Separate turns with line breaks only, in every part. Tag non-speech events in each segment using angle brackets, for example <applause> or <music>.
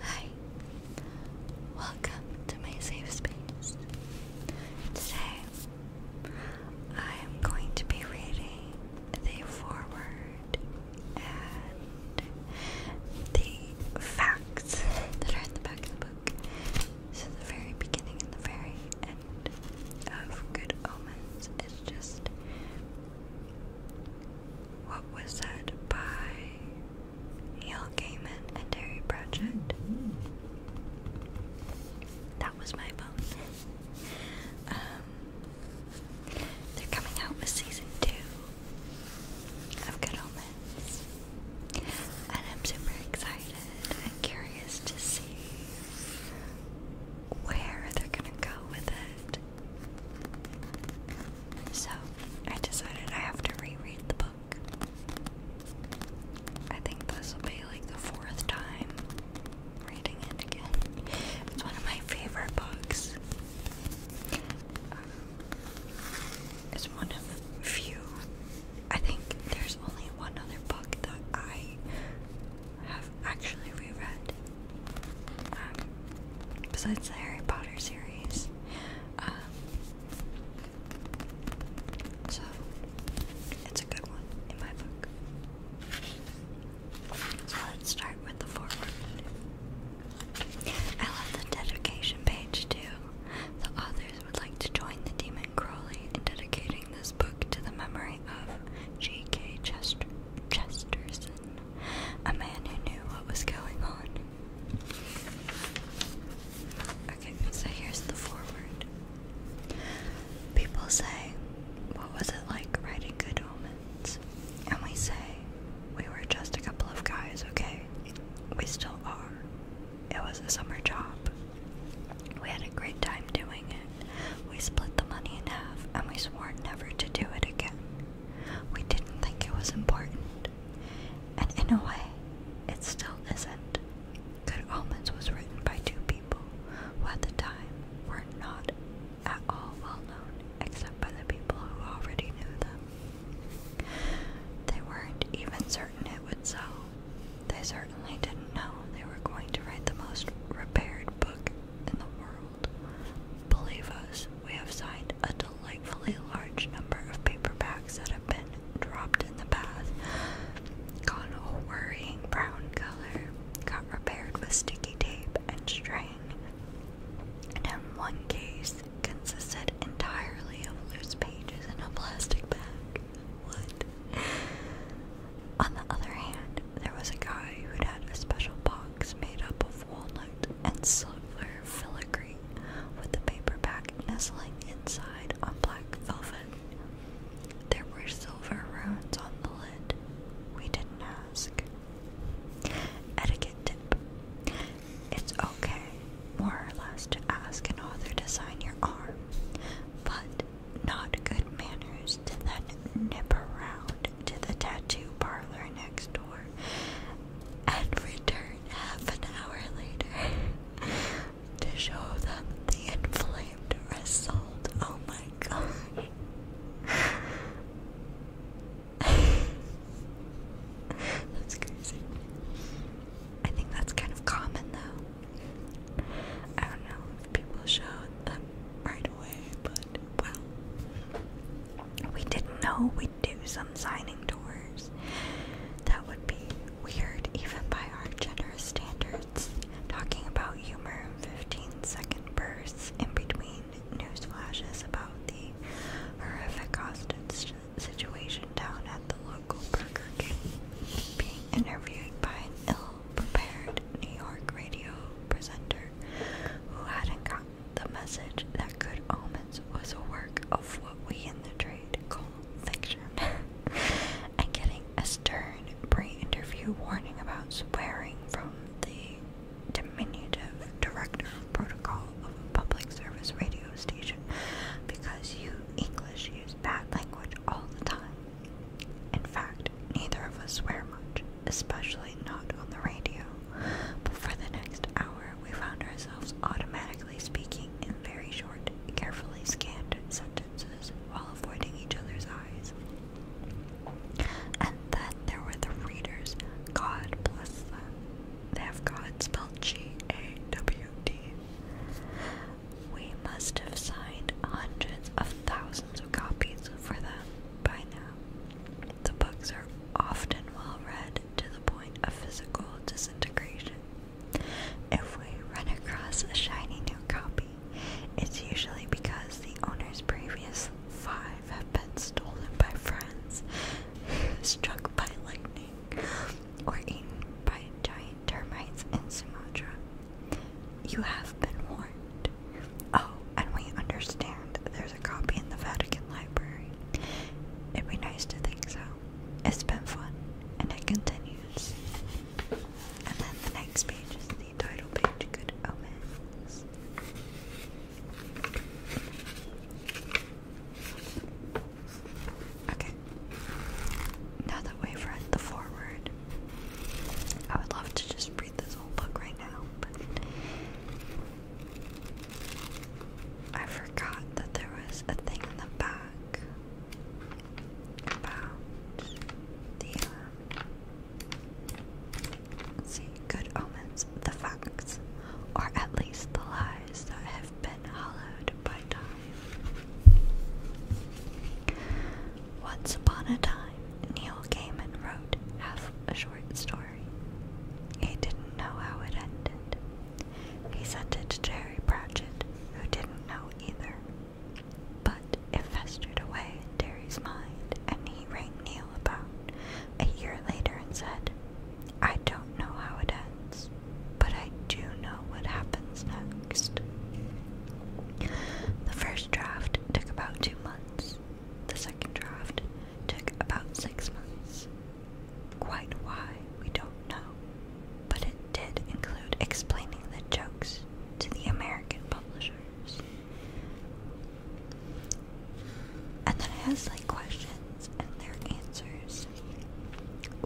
Hi, welcome to my safe space. Today, I am going to be reading the foreword and the facts that are in the back of the book. So, the very beginning and the very end of Good Omens is just what was said by Neil Gaiman and Dairy Project. That was my phone. Um, they're coming out with season two of Good Omens, and I'm super excited and curious to see where they're gonna go with it. So I decided I have to reread the book. I think this will be like the fourth time reading it again. It's one of my favorite books. Um, it's one of few. I think there's only one other book that I have actually reread. Um, besides the Harry Potter series. Um, so it's a good one in my book. So let's start with the foreword. I love the dedication page too. The authors would like to join the Demon Crowley in dedicating this book to the memory of G.K. Chester's a man who knew what was going on. Okay, so here's the forward. People say, What was it like writing Good Omens? And we say, We were just a couple of guys, okay? We still are. It was a summer job. We had a great time doing it. We split the money in half and we swore never to do it again. We didn't think it was important. And in a way, it still isn't. Good Omens was written by two people who at the time were not at all well known except by the people who already knew them. They weren't even certain it would sell. They certainly didn't know they were going to write the most repaired book in the world. Believe us, we have signed a delightfully large number of paperbacks that have been dropped in the path. gone worrying brown color, got repaired with sticky tape and string, and one case consisted entirely of loose pages in a plastic bag. On the other hand, there was a guy who had a special box made up of walnut and silver fillet with the paper paperback nestling inside on black velvet. There were silver runes on the lid. We didn't ask. Etiquette tip. It's okay, more or less, to ask an author to sign your arm, but not good manners to then nip around to the tattoo parlor next door and return half an hour later <laughs> to show them the inflamed result. Oh my gosh. <laughs> that's crazy. I think that's kind of common though. I don't know if people showed them right away, but well. We didn't know we do some signing tours. That would be weird, even by our generous standards. Talking about humor in 15 second bursts in between news flashes about the horrific Austin situation down at the local Burger King, being interviewed by an ill prepared New York radio presenter who hadn't got the message that good omens was a work of what we in the trade call fiction, <laughs> and getting a stern pre-interview warning about swearing from the diminutive director of protocol of a public service radio station because you English use bad language all the time. In fact, neither of us swear much, especially not on the radio. But for the next hour, we found ourselves automatically speaking in very short, carefully scanned sentences while avoiding each other's eyes. And then there were the readers. God bless them. They have God spelled G A W D. We must have signed hundreds of thousands of copies for them by now. The books are often well read to the point of physical disintegration. If we run across a shiny new copy, it's usually because the owner's previous five have been stolen by friends, <laughs> struck by lightning, or eaten by giant termites in Sumatra. You have been warned. Oh, and we understand there's a copy in the Vatican Library. It'd be nice to think so, it's been fun. And it continues. And then the next page is the title page, Good Omens. Okay. Now that we've read the foreword, I would love to just read this whole book right now, I forgot that there was a thing in the back about the uh, see, good omens, the facts, or at least the lies that have been hollowed by time. Once upon a time, Neil Gaiman wrote half a short story. He didn't know how it ended. He sent it to Jerry Pratchett, who didn't know either. But it festered away in Derry's mind, and he rang Neil about a year later and said, I don't know how it ends, but I do know what happens next. The first draft took about two months. The second draft took about six months. Quite why, we don't know, but it did include explaining the jokes to the American publishers. And then it has like questions and their answers.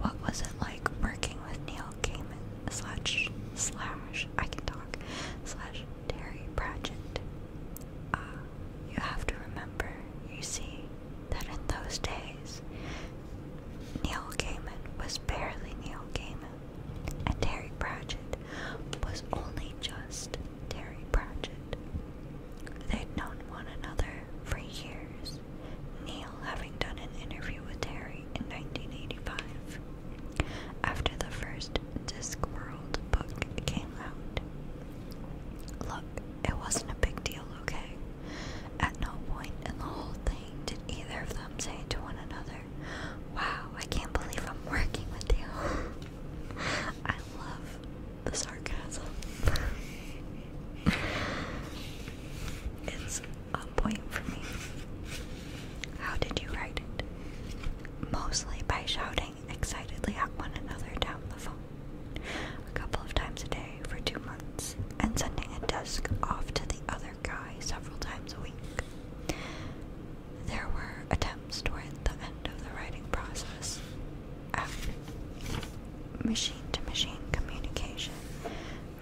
What was it like working with Neil Gaiman slash slash I can talk slash Terry Pratchett? Uh, you have to remember, you see, that in those days Neil Gaiman was barely Neil Gaiman, and Terry Pratchett was only just Terry Pratchett. They'd known one another for years, Neil having done an interview with Terry in 1985. After the first Discworld book came out, look, it wasn't a big deal, okay? At no point in the whole thing did either of them say to one another, Wow, I can't believe I'm working with you. <laughs> I love the sarcasm. <laughs> it's a point for me. How did you write it? Mostly by shouting excitedly at one another down the phone a couple of times a day for two months, and sending a desk off to the other guy several times a week. There were attempts toward the end of the writing process. After machine to machine communication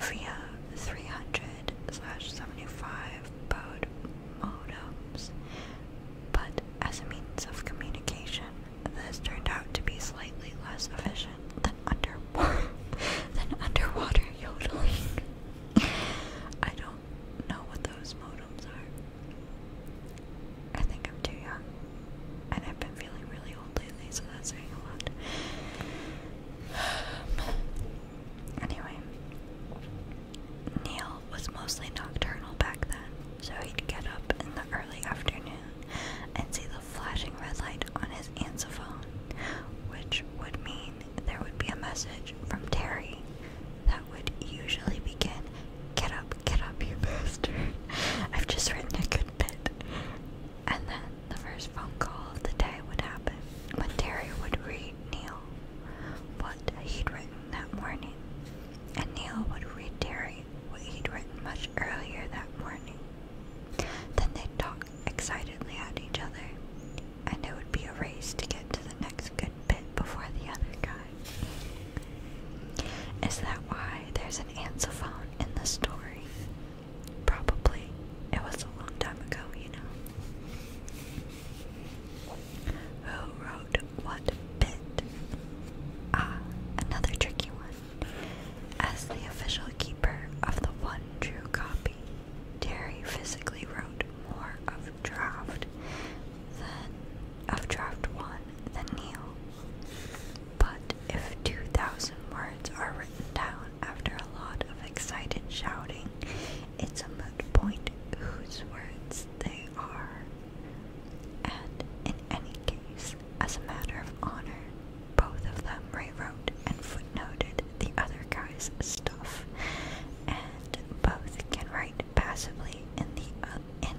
via 300 slash 75 baud modems, but as a means of communication, this turned out to be slightly less efficient than under <laughs> than underwater yodeling. I don't know what those modems are. I think I'm too young, and I've been feeling really old lately, so that's saying a <sighs> Anyway, Neil was mostly nocturnal back then, so he'd get up in the early afternoon and see the flashing red light on his answer which would mean there would be a message from Terry that would usually begin, Get up, get up, you bastard. <laughs> I've just written a good bit. And then the first phone call of the day would happen when Terry would read Neil what he'd written that morning. And Neil would read Terry what he'd written much earlier that morning. Then they'd talk excitedly at each other, and it would be a race to get to the next good bit before the other guy. Is that why there's an ansophone in the story? Probably. It was a long time ago, you know. Who wrote what bit? Ah, another tricky one. As the official keeper of the one true copy, Terry physically wrote more of draft than of draft one than Neil. But if two thousand words are written down after a lot of excited shouting, it's a moot point whose words they are. And in any case, as, a matter of honor, both of them rewrote and footnoted the other guy's stuff, and both can write passively in the uh,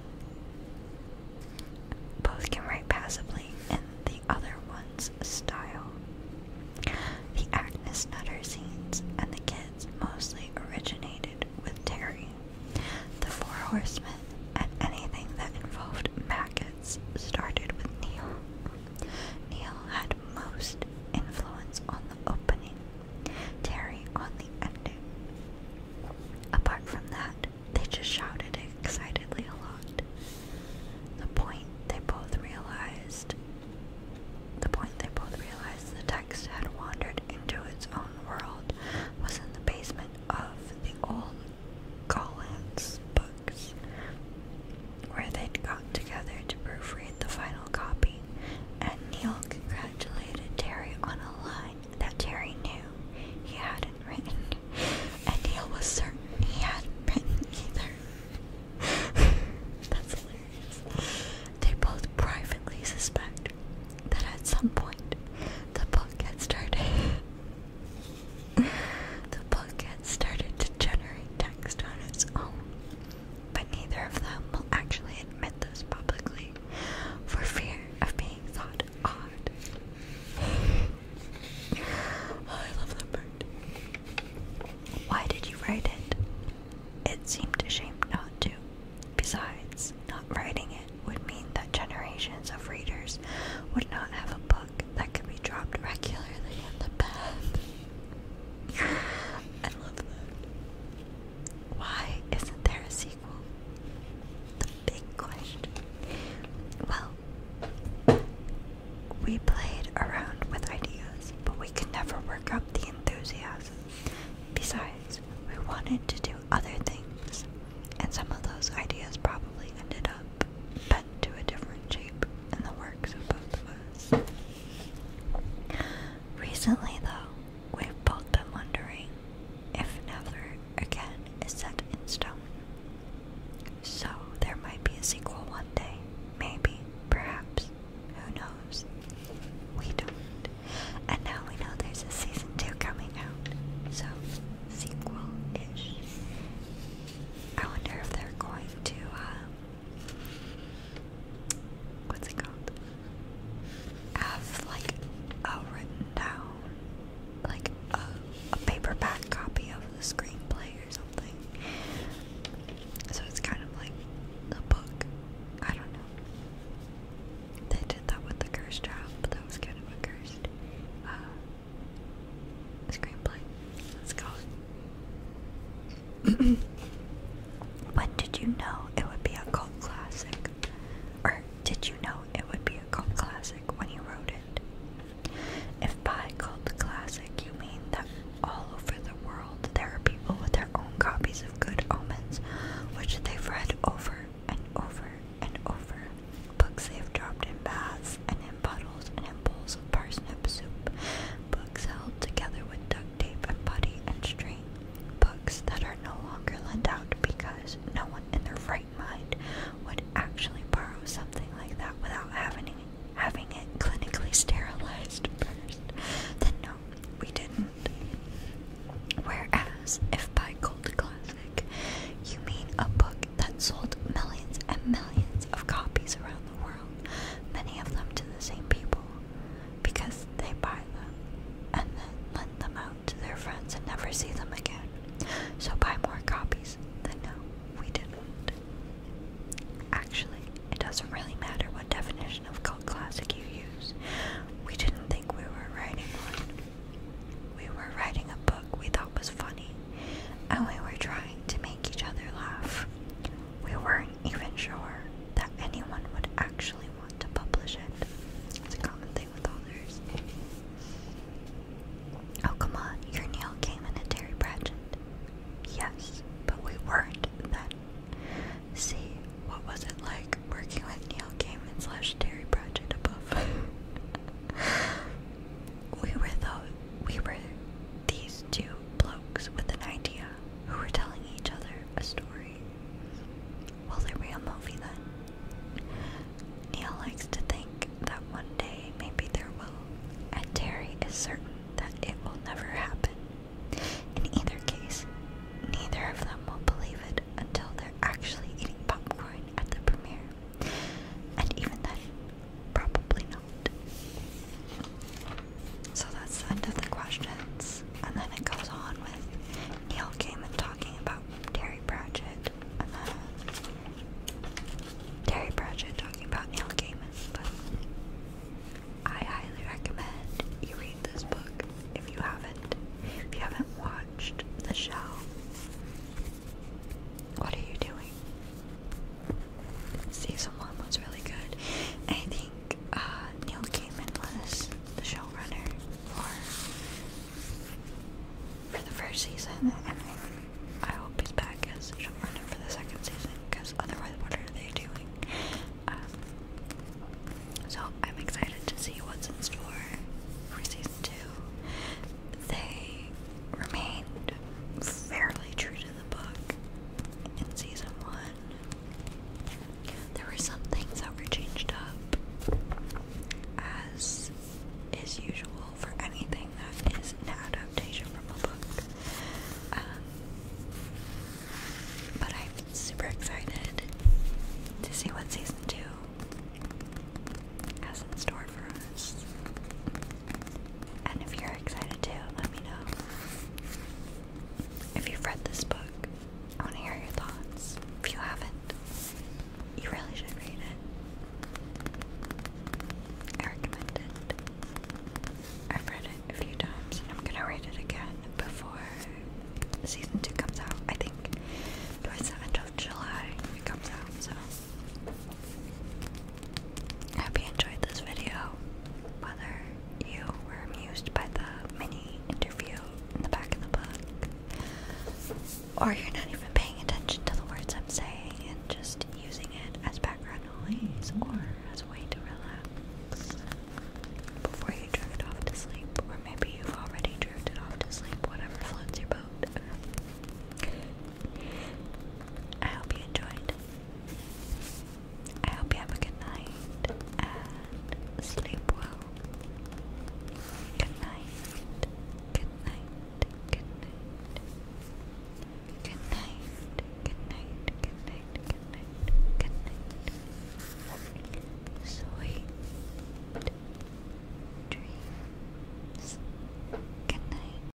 Both can write passively in the other one's style. The Agnes Nutter scenes and the kids mostly originated with Terry. The Four Horsemen and anything that involved Mac methods started with Neil. Neil had most influence on the opening, Terry on the ending. Apart from that, they just shouted excitedly a lot. The point they both realized the point they both realized the text had wandered into its own world was in the basement of the old Collins books, where they'd gotten together to proofread the final copy, and Neil congratulated Terry on a line that Terry knew he hadn't written, and Neil was certain he hadn't written either. <laughs> That's hilarious. They both privately suspect that at some point the book gets started <laughs> <sighs> the booklet started to generate text on its own, but neither of them will actually admit this publicly for fear of being thought odd. <sighs> I love that bird. Why did you write it? It seemed a shame not to. Besides, not writing it would mean that generations of readers would not have a book that can be dropped regularly in the bed. I love that. Why isn't there a sequel? The big question. Well, we played around with ideas, but we could never work up the enthusiasm. Besides, we wanted to do other things, and some of those ideas probably ended up but to a different shape in the works of both of us. Recently, though, we've both been wondering if never again is set in stone. So there might be a sequel one day. Maybe, perhaps, who knows? We don't. And now we know there's a season two coming out. So, sequel ish. I wonder if they're going to, uh, what's it called? Have like a written down, like a, paperback copy of the screenplay or something. So it's kind of like a book. I don't know. They did that with the cursed job, but that was kind of a cursed uh, Screenplay. Let's go. <clears throat> when did you know it would be a cult classic? Or did you know it would be a cult classic when you wrote it? If by cult classic you mean that all over the world there are people with their own copies of Good Omens, which they've read over and over and over Books they've dropped in baths and in puddles and in bowls of parsnip soup. Books held together with duct tape and putty and string. Books that are no longer lent out because no one in their right mind would actually borrow something like that without having having it clinically sterilized first. Then no, we didn't. Whereas, if by cold classic you mean a book that sold millions and millions of copies around the world, many of them to the same people, because they buy them and then lend them out to their friends and never see them again. So buy more copies than no, we didn't. Actually, it doesn't really matter what definition of cult classic you use. We didn't think we were writing one. We were writing a book we thought was funny funny, and we were trying to make each other laugh. We weren't even sure that anyone would actually want to publish it. It's a common thing with authors. Oh, come on, you Neil Gaiman and Terry Pratchett. Yes, but we weren't then. See, what was it like working with Neil Gaiman slash Terry Pratchett above? <laughs> we were the we were these two blokes with an idea who were telling each other a story. Will there be a movie then? Neil likes to think that one day maybe there will, and Terry is certain that it will never happen. In either case, neither of them will believe it until they're actually eating popcorn at the premiere. And even then, probably not. So that's the end of the questions. And then it goes on with Neil Gaiman talking about Terry Pratchett, and then Terry Pratchett talking about Neil Gaiman. But I highly recommend you read this book if you haven't. If you haven't watched the show, what are you doing? Season 1 was really good. I think uh, Neil Gaiman was the showrunner for, for the first season, I hope he's back as showrunner for the second season, because otherwise, what are they doing? Um, so I'm excited to see what's in store for season two they remained fairly true to the book in season one. There were some things that were changed up, as is usual for anything that is an adaptation from a book. Um, but I'm super excited to see what season two has in store for us. And if you're excited too, let me know. If you've read this book, I want to hear your thoughts. If you haven't, you really should read it. I recommend it. I've read it a few times and I'm gonna read it again before season two comes out. I think towards the end of July it comes out, so I hope you enjoyed this video. Whether you were amused by the mini interview in the back of the book, or you're not even paying attention to the words I'm saying and just using it as background noise or as a way to relax before you drift off to sleep, or maybe you've already drifted off to sleep, whatever floats your boat. I hope you enjoyed. I hope you have a good night and sleep well. Good night. Good night. Good night. Good night. Good night. Good night. Good night. Sweet dreams. Good night.